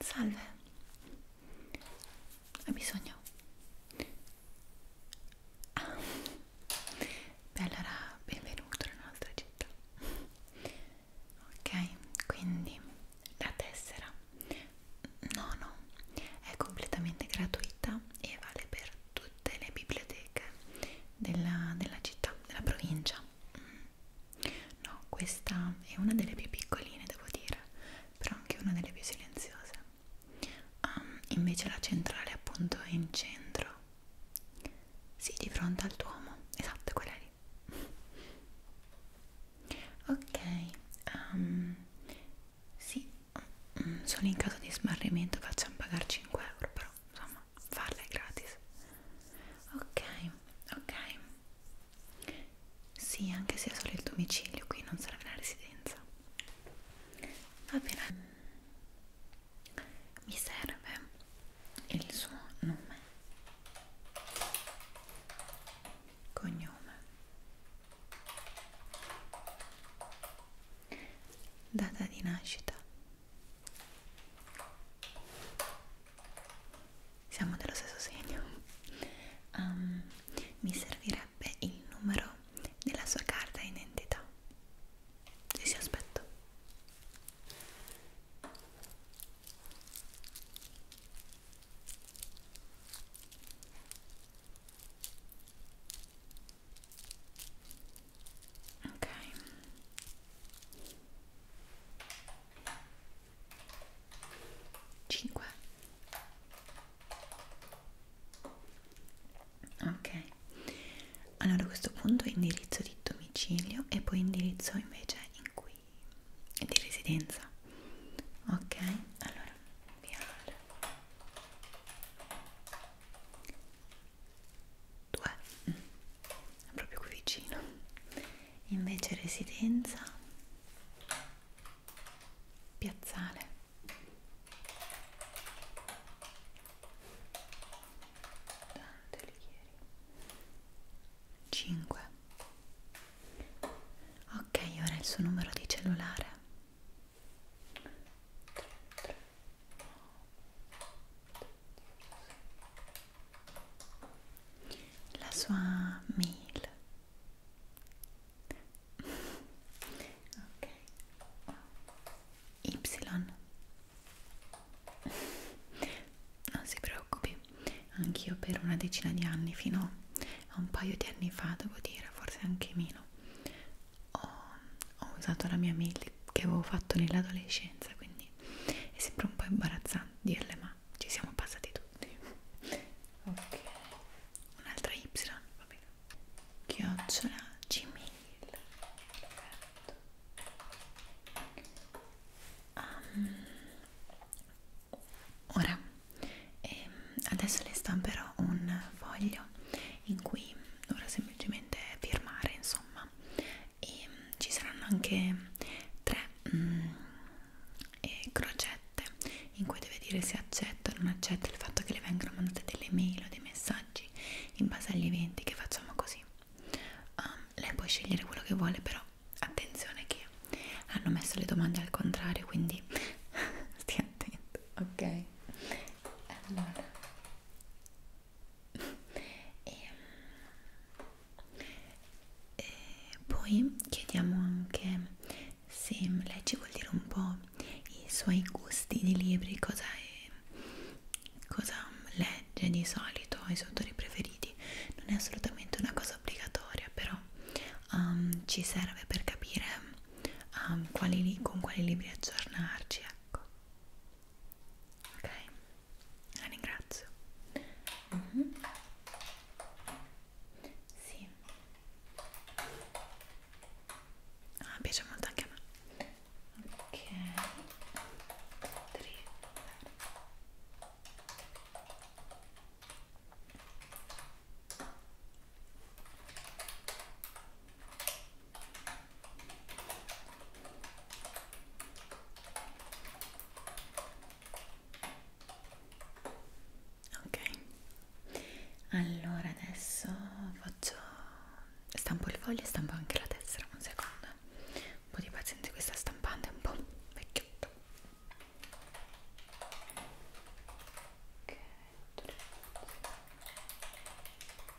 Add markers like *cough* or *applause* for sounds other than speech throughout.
Salve, hai bisogno? Ah. Beh, allora benvenuto nella nostra città. Ok, quindi la tessera, no, no, è completamente gratuita e vale per tutte le biblioteche della, della città, della provincia. Mm. No, questa è una delle più piccoline, devo dire, però anche una delle più silenziose. Um, invece la centrale, appunto, è in centro. Sì, di fronte al Duomo, esatto, quella lì. Ok, um, sì, mm, solo in caso di smarrimento facciamo pagare 5 euro, però però insomma farla è gratis ok ok sì anche se è solo il domicilio qui non serve la residenza va bene mi serve il suo nome cognome data di nascita siamo dello stesso segno. Um, mi servirebbe il numero della sua carta identità. Ci si aspetto ok cinque ok allora a questo punto indirizzo di domicilio e poi indirizzo invece in cui è di residenza ok allora via 2 è proprio qui vicino invece residenza piazzale tanto li ieri 5 ok ora il suo numero di cellulare 3, 3, 9, 8, 7, 6, 5, 4, 3, 2, 1 la sua mail ok y non si preoccupi anch'io per una decina di anni fino a un paio di anni fa devo dire forse anche meno ho, ho usato la mia mail che, che avevo fatto nell'adolescenza, quindi è sempre un po' imbarazzante dirle, ma ci siamo passati tutti. Ok, un'altra Y, va bene. Chiocciola Gmail. Um, ora, ehm, adesso le stamperò un foglio in cui dovrò semplicemente firmare, insomma insomma e mm, ci saranno anche tre mm, eh, crocette in cui deve dire se accetta o non accetta il fatto che le vengano mandate delle mail o dei messaggi in base agli eventi che facciamo così um, lei può scegliere quello che vuole però attenzione che hanno messo le domande al contrario quindi *laughs* stia attento ok allora e, e ehm, poi chiediamo anche se lei ci vuol dire un po' i suoi gusti di libri, cosa, è, cosa legge di solito, i suoi autori preferiti. Non è assolutamente una cosa obbligatoria, però um, ci serve per capire um, quali, con quali libri aggiornarci, ecco ok la ringrazio mm -hmm. sì ah, piace molto anche a me ok Tre ok allora adesso faccio stampo il foglio e stampo anche la tessera un secondo un po' di pazienza questa stampante è un po' vecchiotto ok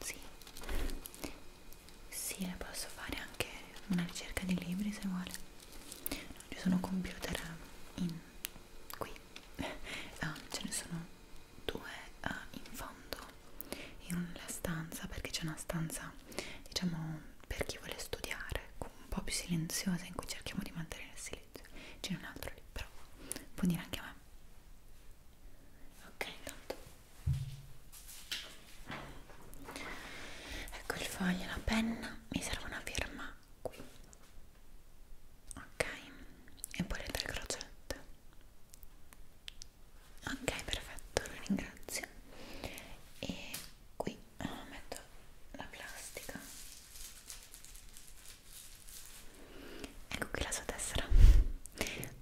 Sì, sì, le posso fare anche una ricerca di libri se vuole. No, ci sono computer eh, in qui, ah, *laughs* ce ne sono due ah, in fondo in una stanza perché c'è una stanza, diciamo, per chi vuole studiare, un po' più silenziosa in cui cerchiamo di mantenere il silenzio. C'è un altro lì però può dire anche a me ok intanto ecco il foglio la penna mi serve una firma qui ok e poi le tre crocette ok perfetto lo ringrazio e qui eh, metto la plastica ecco qui la sua tessera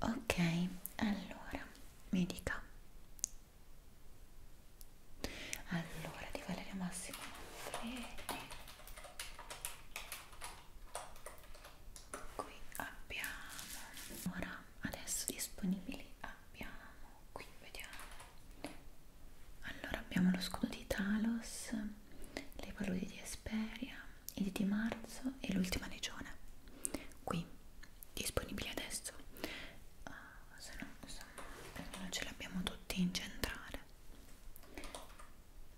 ok allora mi dica allora di Valeria Massimo Manfredi qui abbiamo ora adesso disponibili abbiamo qui vediamo allora abbiamo lo scudo di Talos le paludi di Esperia, il di marzo e l'ultima legione qui, disponibili adesso uh, se no insomma perché non ce l'abbiamo tutti in centrale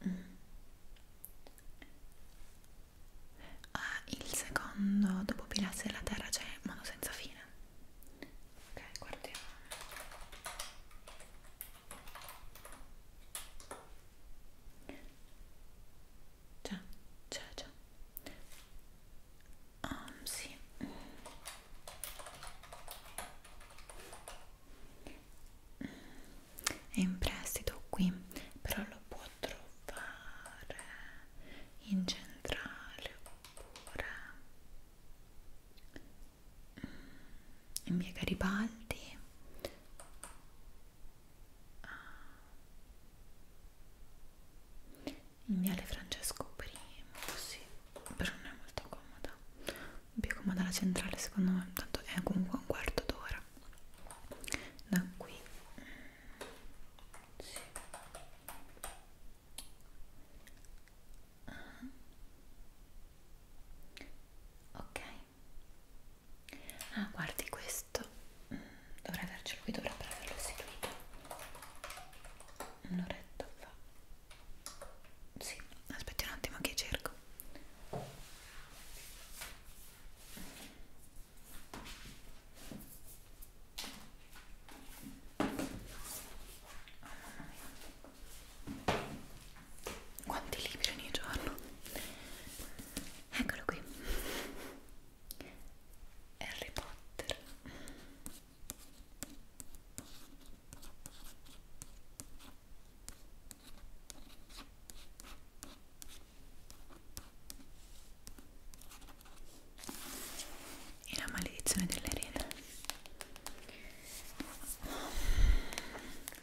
mm. ah, il secondo dopo Pilazzi della Terra c'è Mono senza fine ok, guardiamo Già, già, già. Ah, um, sì. È in prestito qui, però lo può trovare in centrale oppure mm in via Garibaldi in viale Francesco I sì, però non è molto comoda più comoda la centrale secondo me tanto è comunque un quarto d'ora da qui sì ok ah guardi questo mm, dovrei avercelo qui dovrebbe averlo istituito un'oretta fa sì aspetti un attimo che cerco Oh, quanti libri ogni giorno? Eccolo qui. Harry Potter. E la maledizione delle rene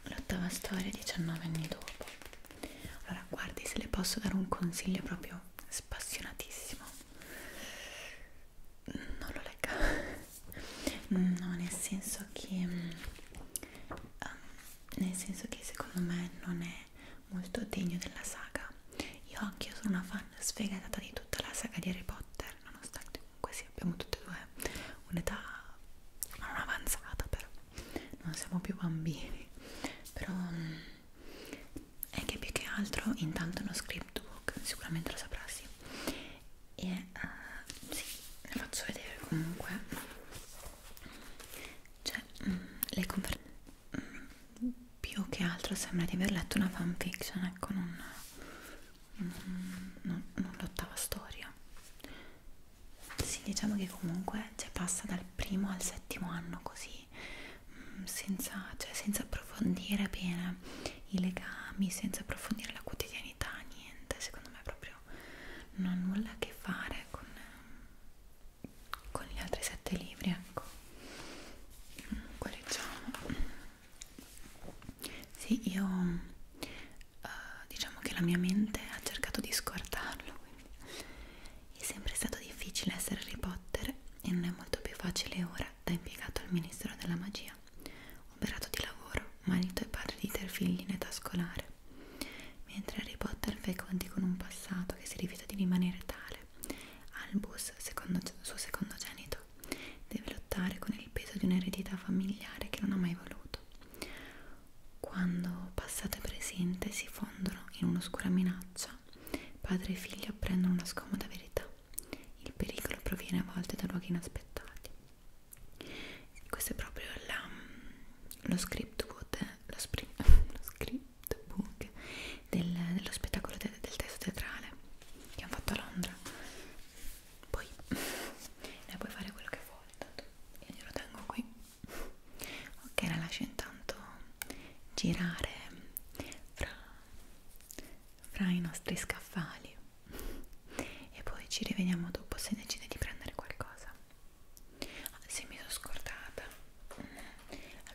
l'ottava storia 19 anni dopo allora guardi se le posso dare un consiglio proprio spassionatissimo non lo legga no nel senso che um, nel senso che secondo me non è molto degno della saga io anche io sono una fan sfegatata di tutta la saga di Harry Potter nonostante comunque sì, abbiamo tutte e due un'età non avanzata però non siamo più bambini però mm, è che più che altro intanto uno scriptbook sicuramente lo saprà eh, sì e uh, sì, ne faccio vedere comunque cioè mh, mm, le conferenze mm, più che altro sembra di aver letto una fanfiction ecco non Mm, non, non l'ottava storia sì diciamo che comunque cioè, passa dal primo al settimo anno così mm, senza, cioè, senza approfondire bene i legami senza approfondire la quotidianità niente secondo me proprio non ha nulla a che fare con, con gli altri sette libri ecco mm, quelli diciamo. già sì, io uh, diciamo che la mia mente ha cercato di scordarlo, quindi è sempre stato difficile essere Harry Potter e non è molto più facile ora da impiegato al Ministero della Magia, operato di lavoro, marito e padre di tre figli in età scolare, mentre Harry Potter fa i conti con un passato che si rifiuta di rimanere tale. Albus, secondo, suo secondogenito, tutto. Deve lottare con il peso di un'eredità familiare che non ha mai voluto. Quando passato e presente si fondono in un'oscura minaccia, padre e figlio apprendono una scomoda verità. Il pericolo proviene a volte da luoghi inaspettati. Questo è proprio la, lo script book, lo, *laughs* lo script book del, dello spettacolo te, del testo teatrale che hanno fatto a Londra poi ne puoi fare quello che vuoi tanto io glielo tengo qui ok la lascio intanto girare fra, fra i nostri scaffali e poi ci rivediamo dopo se decide di prendere qualcosa ah, se mi sono scordata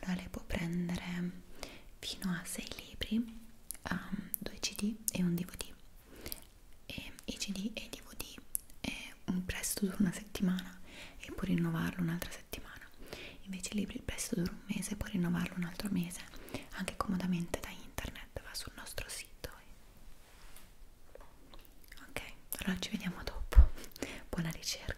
allora lei può prendere fino a 6 libri um, 2 cd e un dvd e i cd e i dvd è un prestito dura una settimana e puoi rinnovarlo un'altra settimana invece i libri il prestito dura un mese e puoi rinnovarlo un altro mese anche comodamente da internet va sul nostro sito e... ok allora ci vediamo dopo *laughs* buona ricerca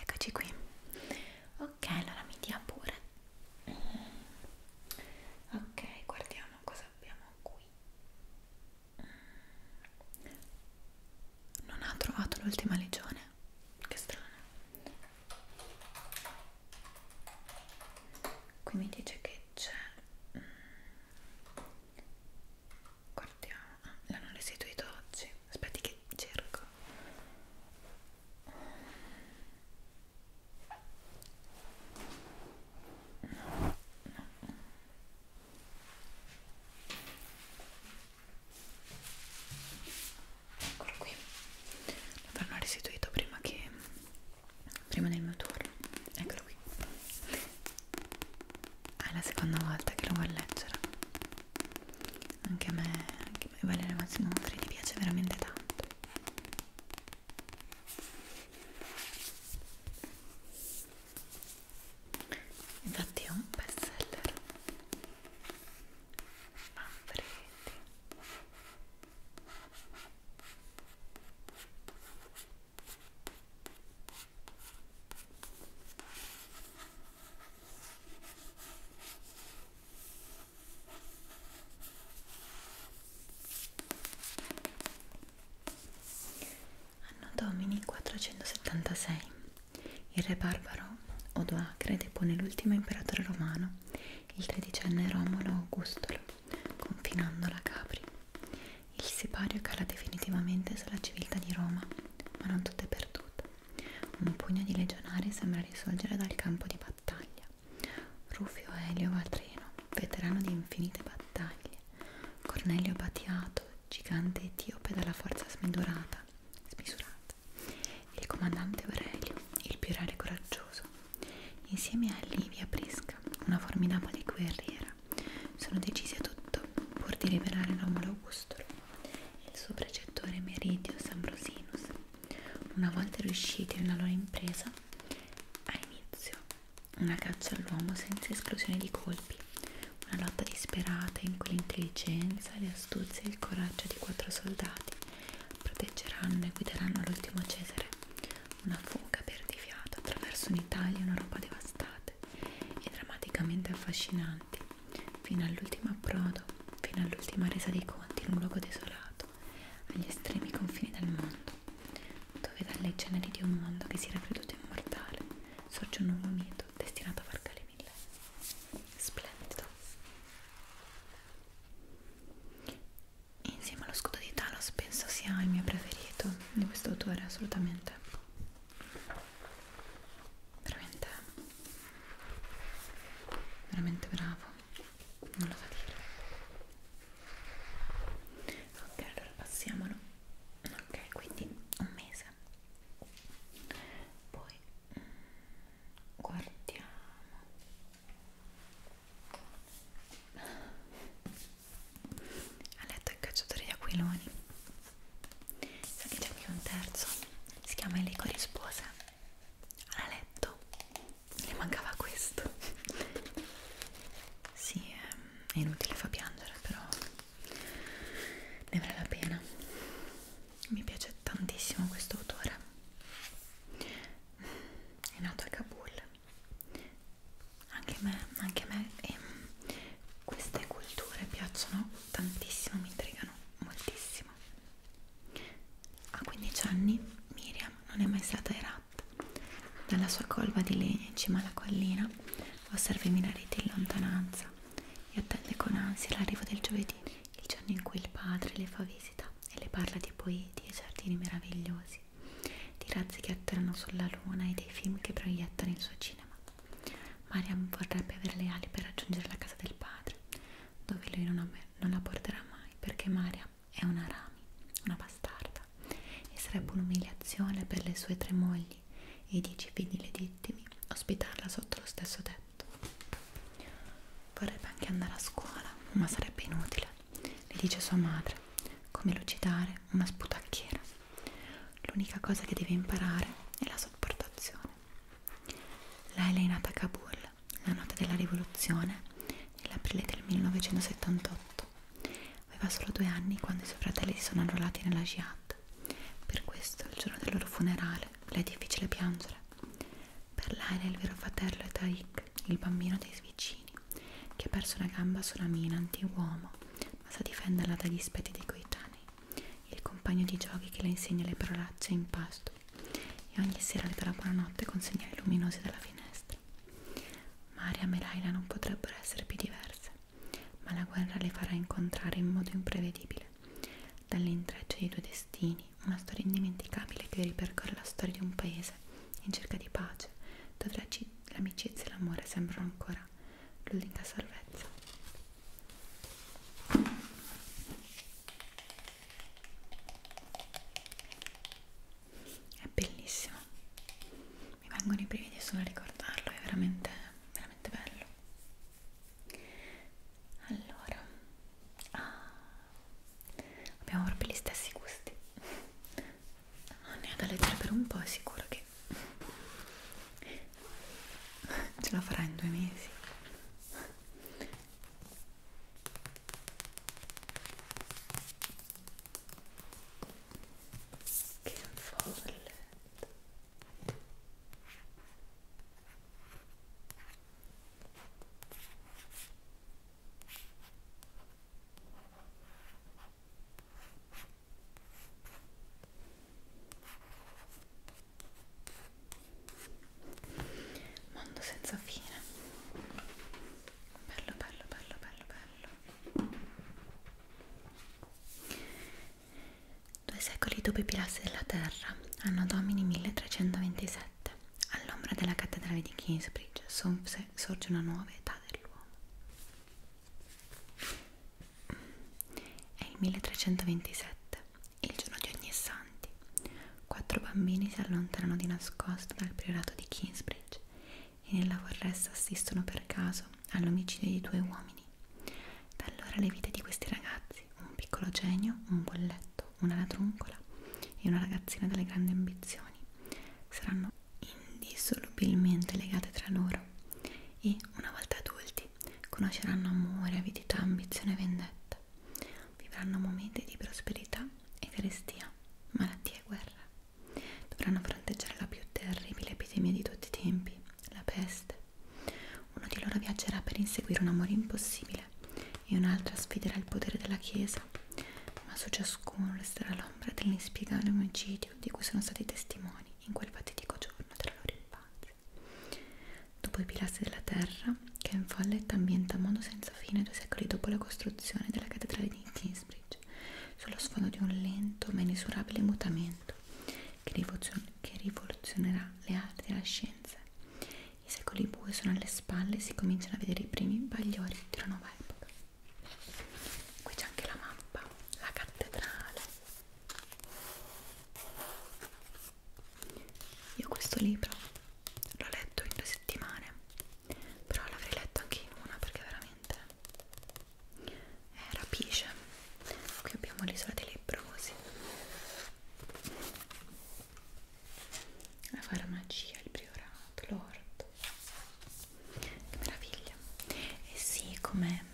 Eccoci qui. Ok, allora mi dia pure. Ok, guardiamo cosa abbiamo qui non ha trovato l'ultima legione che strano qui mi dice che c'è mm, guardiamo ah, l'hanno restituito oggi aspetti che cerco no, no eccolo qui lo avranno restituito prima che prima del mio turno eccolo qui è la seconda volta che lo vuoi leggere anche a me, anche a me Valeria Mazzinofri ti piace veramente tanto infatti è un best seller Manfredi Anno Domini 476 il re barbaro Odoacre depone l'ultimo imperatore romano, il tredicenne Romolo Augustolo, confinando la Capri. Il sipario cala definitivamente sulla civiltà di Roma, ma non tutto è perduto. Un pugno di legionari sembra risorgere dal campo di battaglia. Rufio Elio Vatreno, veterano di infinite battaglie, Cornelio Batiato, gigante etiope dalla forza smidurata, smisurata, il comandante Aurelio, il pirale coraggioso, insieme a Livia Prisca, una formidabile guerriera, sono decisi a tutto pur di liberare Romolo Augusto e il suo precettore Meridius Ambrosinus. Una volta riusciti nella loro impresa, ha inizio una caccia all'uomo senza esclusione di colpi una lotta disperata in cui l'intelligenza, le astuzie e il coraggio di quattro soldati proteggeranno e guideranno l'ultimo Cesare. Una fuga perdifiata attraverso un'Italia e un'Europa devastate e drammaticamente affascinanti, fino all'ultimo approdo, fino all'ultima resa dei conti in un luogo desolato, agli estremi confini del mondo, dove dalle ceneri di un mondo che si era creduto immortale sorge un nuovo mito vento destinato a far calare mille splendido insieme allo scudo di Talos penso sia il mio preferito di questo autore assolutamente veramente veramente bravo non lo so dire ok allora passiamolo ok quindi un mese poi mm, guardiamo ha letto il cacciatore di aquiloni sa che c'è qui un terzo si chiama Elico di Spose ha letto le mancava questo sì, è inutile fa piangere però ne vale la pena mi piace tantissimo questo autore è nato a Kabul anche a me, anche me e ehm, queste culture piacciono tantissimo, mi intrigano moltissimo a 15 anni Miriam non è mai stata ai rat dalla sua colva di legno in cima alla collina osserva i minareti in lontananza e attende con ansia l'arrivo del giovedì, il giorno in cui il padre le fa visita e le parla di poeti e giardini meravigliosi, di razzi che atterrano sulla luna e dei film che proiettano il suo cinema. Mariam vorrebbe avere le ali per raggiungere la casa del padre, dove lui non, non la porterà mai perché Mariam è una rami, una bastarda, e sarebbe un'umiliazione per le sue tre mogli figli e i dieci figli legittimi, ospitarla sotto lo stesso tetto. Vorrebbe anche andare a scuola, ma sarebbe inutile, le dice sua madre, come lucidare una sputacchiera. L'unica cosa che deve imparare è la sopportazione. Laila è nata a Kabul la notte della rivoluzione, nell'aprile del 1978. Aveva solo due anni quando i suoi fratelli si sono arruolati nella jihad morta. Per questo, il giorno del loro funerale, le è difficile piangere. Per lei era il vero fratello è Tariq, il bambino dei vicini, che ha perso una gamba sulla mina anti-uomo, ma sa difenderla dagli spetti dei coetanei, il compagno di giochi che le insegna le parolacce in pasto e ogni sera le dà la buonanotte con segnali luminosi dalla finestra. Mariam e Laila non potrebbero essere più diverse ma la guerra le farà incontrare in modo imprevedibile, dall'intreccio dei due destini, una storia indimenticabile che ripercorre la storia di un paese in cerca di pace, dove l'amicizia e l'amore sembrano ancora l'unica salvezza. È bellissimo mi vengono i brividi solo a ricordarlo, è veramente, veramente bello. Allora, ah, abbiamo proprio gli stessi gusti. Ah, ne ho da leggere per un po', è sicuro che ce la farà in due mesi. Che folle Mondo senza fine. Bello, bello, bello, bello, bello. Due secoli dopo i pilastri della terra, anno domini 1327, all'ombra della cattedrale di Kingsbridge sorge una nuova età dell'uomo. È il 1327, il giorno di ogni santi. Quattro bambini si allontanano di nascosto dal priorato di Kingsbridge e nella foresta assistono per caso all'omicidio di due uomini da allora le vite di questi ragazzi, un piccolo genio, un bolletto, una ladroncola e una ragazzina dalle grandi ambizioni, saranno indissolubilmente legate tra loro e, una volta adulti, conosceranno amore, avidità, ambizione e vendetta. Vivranno momenti di prosperità e carestia, malattie e guerra. Dovranno fronteggiare la più terribile epidemia di tutti i tempi, la peste, uno di loro viaggerà per inseguire un amore impossibile e un altro sfiderà il potere della Chiesa, ma su ciascuno resterà l'ombra dell'inspiegabile omicidio di cui sono stati testimoni in quel patetico giorno della loro infanzia. Dopo i pilastri della terra, Ken Follett ambienta mondo senza fine due secoli dopo la costruzione della cattedrale di Kingsbridge, sullo sfondo di un lento ma inesorabile mutamento che rivoluzionerà le arti e la scienza. I secoli bui sono alle spalle e si cominciano a vedere i primi bagliori di una nuova epoca. Qui c'è anche la mappa, la cattedrale. Io questo libro l'ho letto in due settimane, però l'avrei letto anche in una perché veramente eh, rapisce qui abbiamo l'isola dei lebbrosi la farmacia, il priorato, l'orto che meraviglia e eh sì, come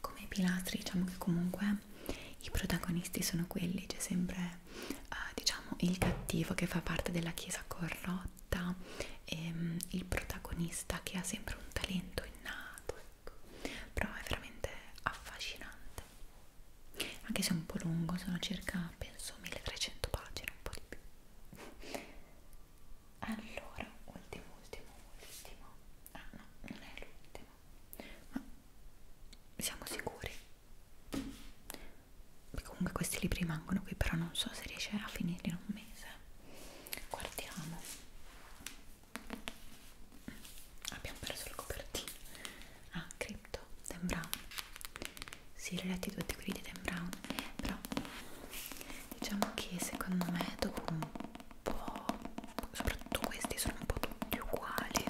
come i pilastri diciamo che comunque i protagonisti sono quelli c'è sempre uh, diciamo il cattivo che fa parte della chiesa corrotta e um, il protagonista che ha sempre un talento innato Ecco. però è veramente affascinante anche se è un po' lungo sono circa penso 1300 pagine un po' di più allora ultimo ultimo ultimo ah no non è l'ultimo ma siamo sicuri comunque questi libri rimangono qui però non so se riesce a finirli in un mese guardiamo abbiamo perso la copertina ah, Crypto, Dan Brown si, sì, reletti tutti quelli di Dan Brown però diciamo che secondo me dopo un po' soprattutto questi sono un po' tutti uguali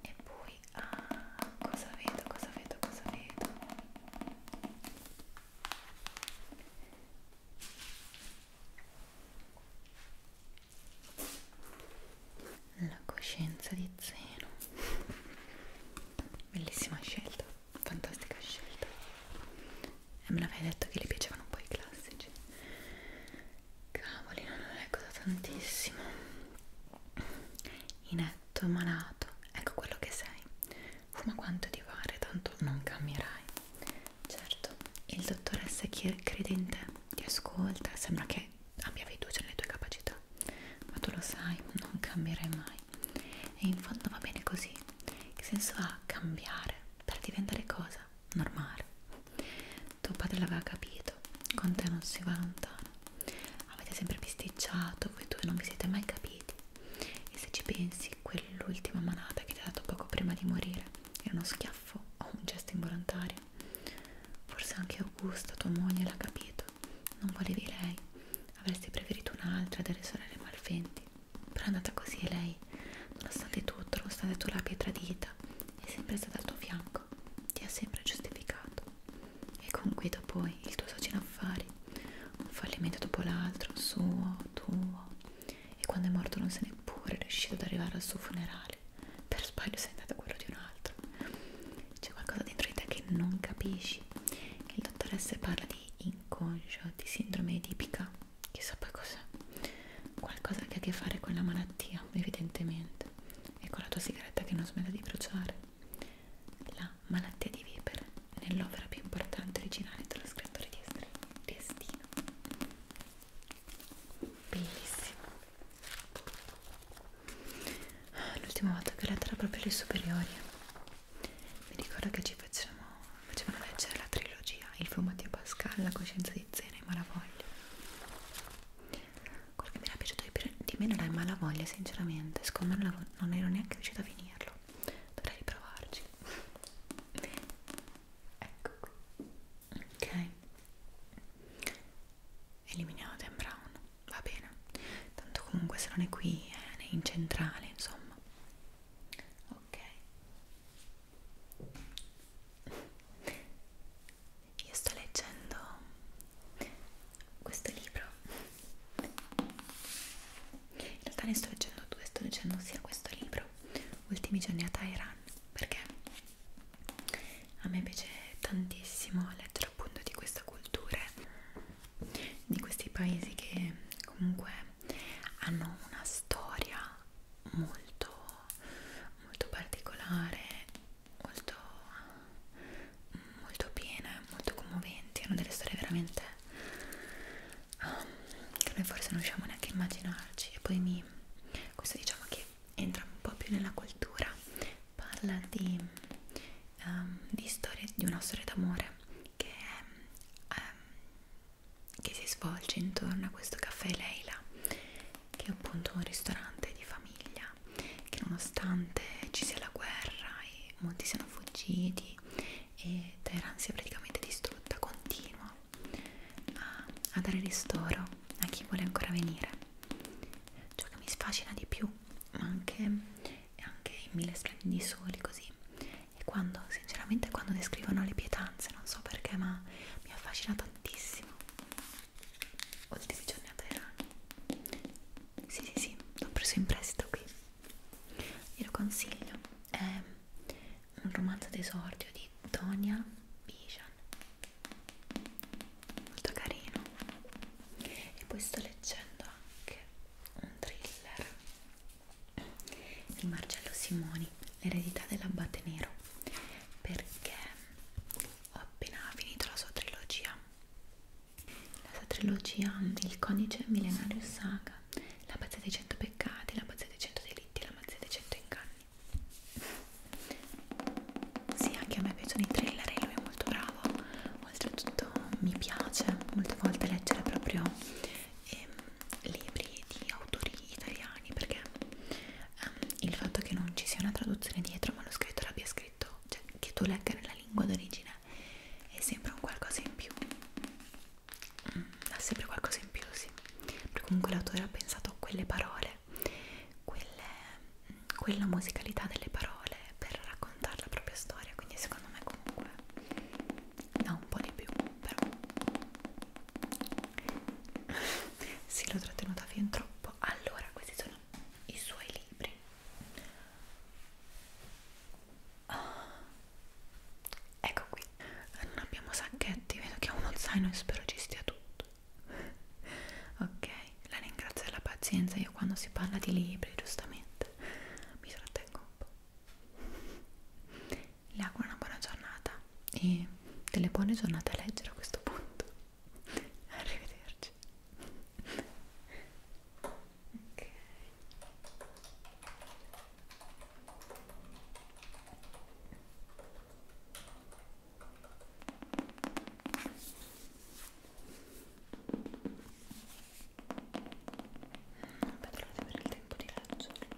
e poi, ah, cosa vedo, cosa vedo, cosa vedo la coscienza di zero bellissima scelta fantastica scelta e me l'avevi detto che le piacevano un po' i classici cavoli non lo leggo da tantissimo inetto malato ecco quello che sei fuma quanto ti pare, tanto non cambierai. Certo, il dottoressa crede in te, ti ascolta, sembra che abbia fiducia nelle tue capacità, ma tu lo sai, non cambierai mai. E in fondo va bene così. Che senso ha cambiare per diventare cosa? Normale. Tuo padre l'aveva capito, con te non si va lontano. Avete sempre bisticciato, voi due non vi siete mai capiti. E se ci pensi, sì, quell'ultima manata che ti ha dato poco prima di morire era uno schiaffo o un gesto involontario. Forse anche Augusta, tua moglie, l'ha capito. Non volevi lei, avresti preferito un'altra delle sorelle malventi. Però è andata così e lei, nonostante tutto, nonostante tu l'abbia tradita, è sempre stata al tuo fianco, ti ha sempre giustificato. E con Guido poi, il tuo socio in affari, un fallimento dopo l'altro, suo, tuo e quando è morto non sei neppure riuscito ad arrivare al suo funerale per sbaglio sei andato a quello di un altro c'è qualcosa dentro di te che non capisci il dottoressa parla di inconscio, di sindrome edipica chissà poi cos'è qualcosa che ha a che fare con la malattia evidentemente e con la tua sigaretta che non smetta di bruciare la la malattia di Weber nell'opera più importante originale dello scrittore di Destino. Bellissimo. L'ultima volta che ho letto era proprio le superiori. Mi ricordo che ci facevamo, facevano leggere la trilogia, il fumatio Pascal, la coscienza di Zena e Malavoglia. Quello che mi era piaciuto di, di meno era il Malavoglia, sinceramente, secondo me non ero neanche riuscita a finirlo dovrei riprovarci ecco qui ok eliminiamo Dan Brown va bene tanto comunque se non è qui eh, è né in centrale insomma ok io sto leggendo questo libro in realtà ne sto leggendo due, sto leggendo sia questo libro, Ultimi giorni a Tehran, perché a me piace tantissimo leggere appunto di queste culture, di questi paesi che comunque hanno una storia molto, molto particolare, molto, molto piena, molto commoventi, hanno delle storie veramente um, che noi forse non riusciamo neanche a immaginarci e poi mi, questo diciamo che entra un po' più nella cultura parla di, um, di, storie, di una storia d'amore che, um, che si svolge intorno a questo caffè Leila che è appunto un ristorante di famiglia che nonostante ci sia la guerra e molti siano fuggiti e Teheran si è praticamente distrutta, continua a, a dare ristoro a chi vuole ancora venire. Ciò che mi sfascina di più, ma anche, anche i mille splendidi soli così, e quando, sinceramente, quando descrivono le pietanze, non so perché, ma mi affascina tantissimo. Ultimi giorni a Teheran. Sì, sì, sì, l'ho preso in prestito qui glielo consiglio è un romanzo d'esordio di Tonia Bijan molto carino e poi sto leggendo anche un thriller di Marcello Simoni l'eredità dell'abbate nero perché ho appena finito la sua trilogia la sua trilogia Il codice millenario saga la pazzia dei 100 peccati, la pazzia dei 100 delitti, la pazzia dei 100 inganni. Sì, anche a me piacciono i thriller e lui è molto bravo. Oltretutto mi piace molte volte leggere proprio ehm, libri di autori italiani perché ehm, il fatto che non ci sia una traduzione dietro ma lo scrittore abbia scritto, cioè che tu legga nella lingua d'origine è sempre un qualcosa in più ha sempre qualcosa in più, sì. Perché comunque l'autore ha pensato a quelle parole, quelle, quella musicalità delle parole per raccontare la propria storia. Quindi, secondo me, comunque dà un po' di più, però sì, *laughs* l'ho trattenuta fin troppo. Allora, questi sono i suoi libri. Ah, ecco qui. Non abbiamo sacchetti, vedo che ho uno zaino e spero ci stia tutto. ok, la ringrazio della pazienza. Io quando si parla di libri, giustamente, mi trattengo un po'. Le auguro una buona giornata e delle buone giornate a leggere a questo punto. Arrivederci ok non vedrò di avere il tempo di leggerlo